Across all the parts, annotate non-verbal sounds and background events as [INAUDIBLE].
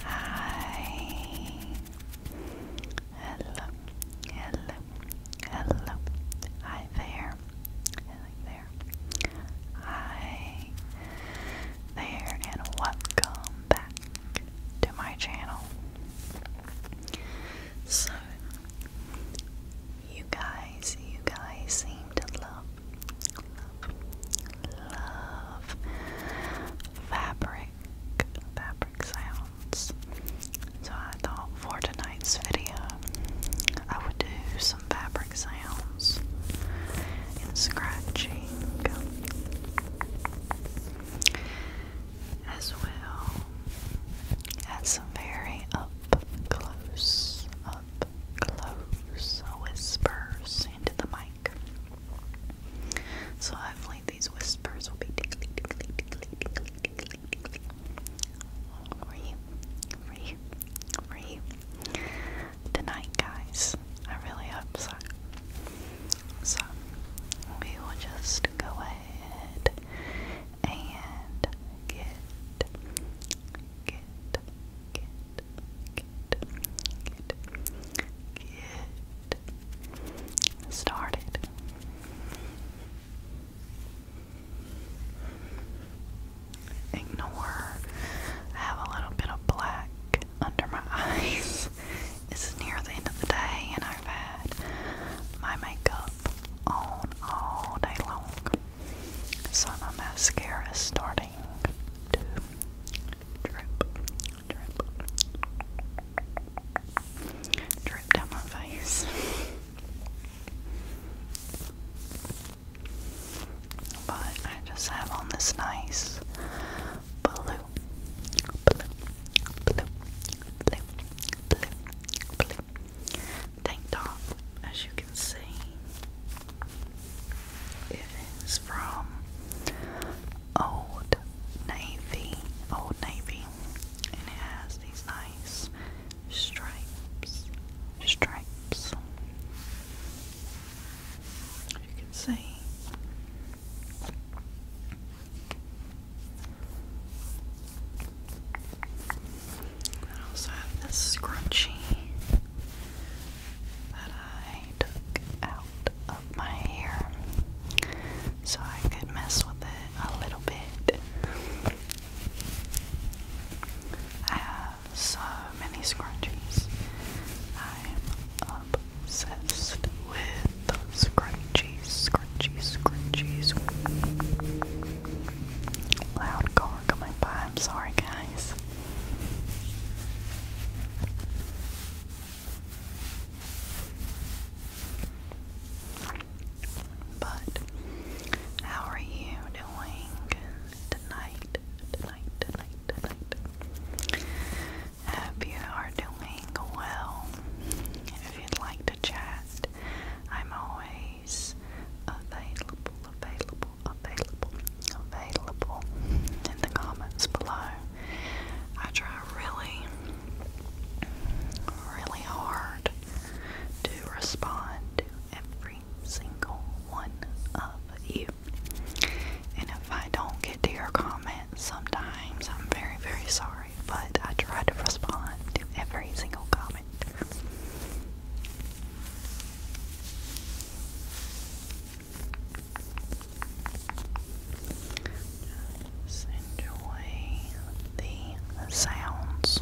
Hi. Hello. Hello. Hello. Hi there. Hello there. Hi there and welcome back to my channel. So you guys, you guys seem to love, love, fabric, fabric sounds. So I thought for tonight's video, I would do some fabric sounds and scratching as well as some very close, up close whispers into the mic. So hopefully these whispers will be for you, for you, for you tonight, guys. I really hope so. So we will just go ahead and get, get, get, get, get, get started. Ignore. I have a little bit of black under my [LAUGHS] eyes. It's near the end of the day, and I've had my makeup on all day long. So my mascara is starting to drip, drip, drip down my face. But I just have on this nice blue, blue, blue, blue, blue, blue, tank top, as you can see. It is from Old Navy, Old Navy, and it has these nice stripes, stripes. You can see I also have this scrunchie that I took out of my hair so I could mess with it a little bit. I have so many scrunchies. I'm obsessed with scrunchies scrunchies, scrunchies, scrunchies. Loud car coming by. I'm sorry, guys. But how are you doing tonight? Tonight, tonight, tonight. Hope you are doing well. If you'd like to chat, I'm always available, available, available, available in the comments below. I try really, really hard to respond to every single one of you. And if I don't get to your comments, sometimes I'm very, very sorry but I try to respond to every single comment. Just enjoy the sounds.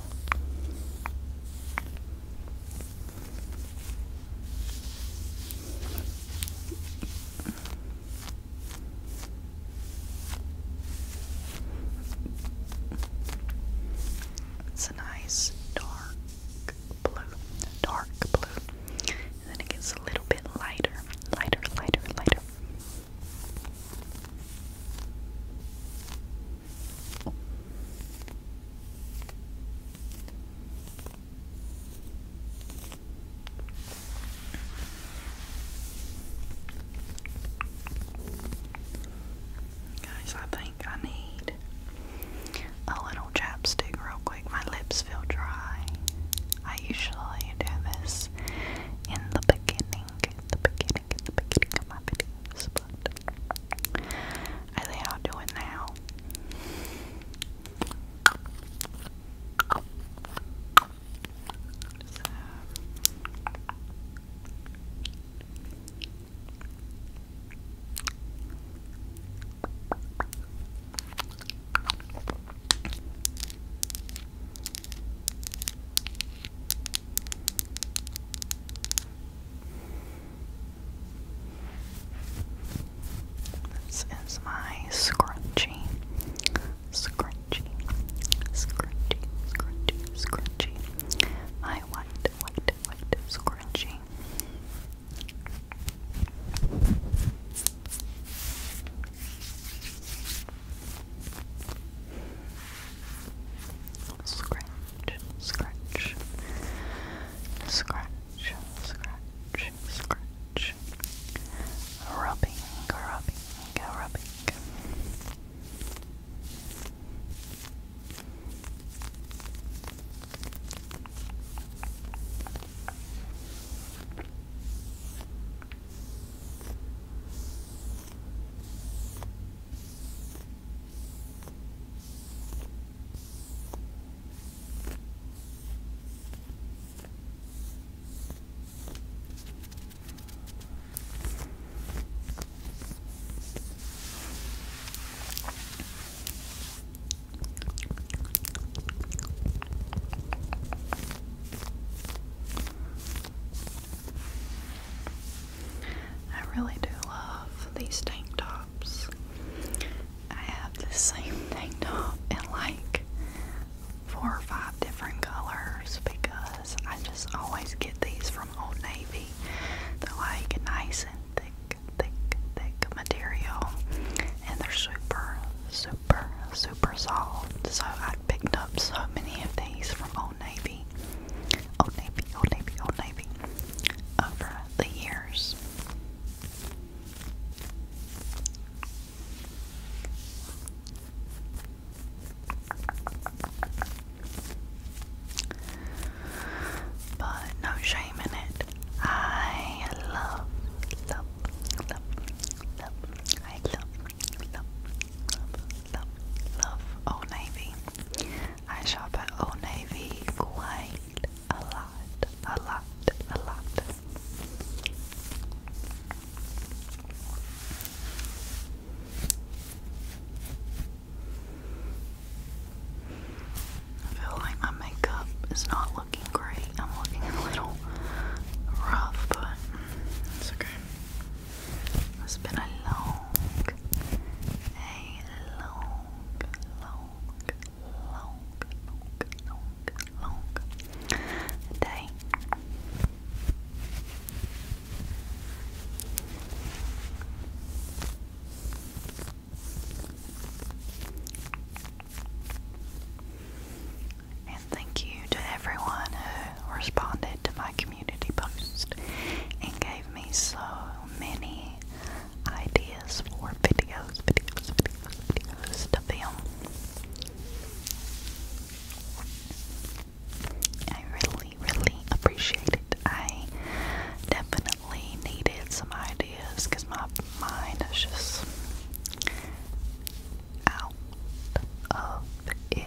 It's a nice dark blue, dark blue, then it gets a little bit lighter, lighter, lighter, lighter. Guys, I think I need a little chapstick real quick. My lips feel dry. I usually do this in the beginning, the beginning, the beginning of my I think I'll do it now this is my scrunchie, scrunchie, scrunchy, scrunchy, scrunchy. My white, white, white scrunchy. Scratch, scratch, scratch, scratch, scratch, Rubbing, rubbing, rubbing. I really do love these tank tops. I have the same [LAUGHS] tank top and like four or five different colors because I just always get these from Old Navy. They're like nice and thick, thick, thick material, and they're super, super, super soft. So I picked up so many of these from Old Navy, Old Navy, Old Navy, Old Navy over the years. But no shame in it. I love, love, love, love, love, love, love Old Navy. I shop at Old Navy quite a lot a lot, a lot. I feel like my makeup is not looking great. I'm looking a little rough, but it's okay. It's been a long, a long, long, long, long, long day. And thank you to everyone who responded to my community post and gave me so many ideas for videos, videos, to I really, really appreciate it. I definitely needed some ideas because my mind is just out of it.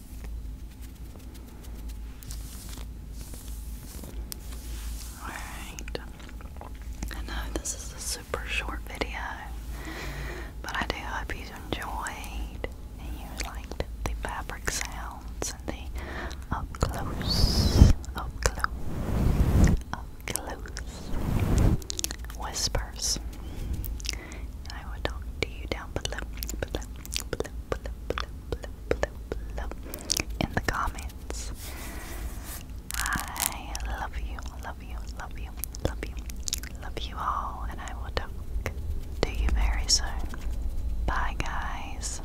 Alright. I know this is a super short video, but I do hope you enjoyed you liked the fabric sounds and the up close, up close, up close whispers. I will talk to you down below, in the comments. I love you, love you, love you, love you, love you all, and I will talk to you very soon. Bye, guys.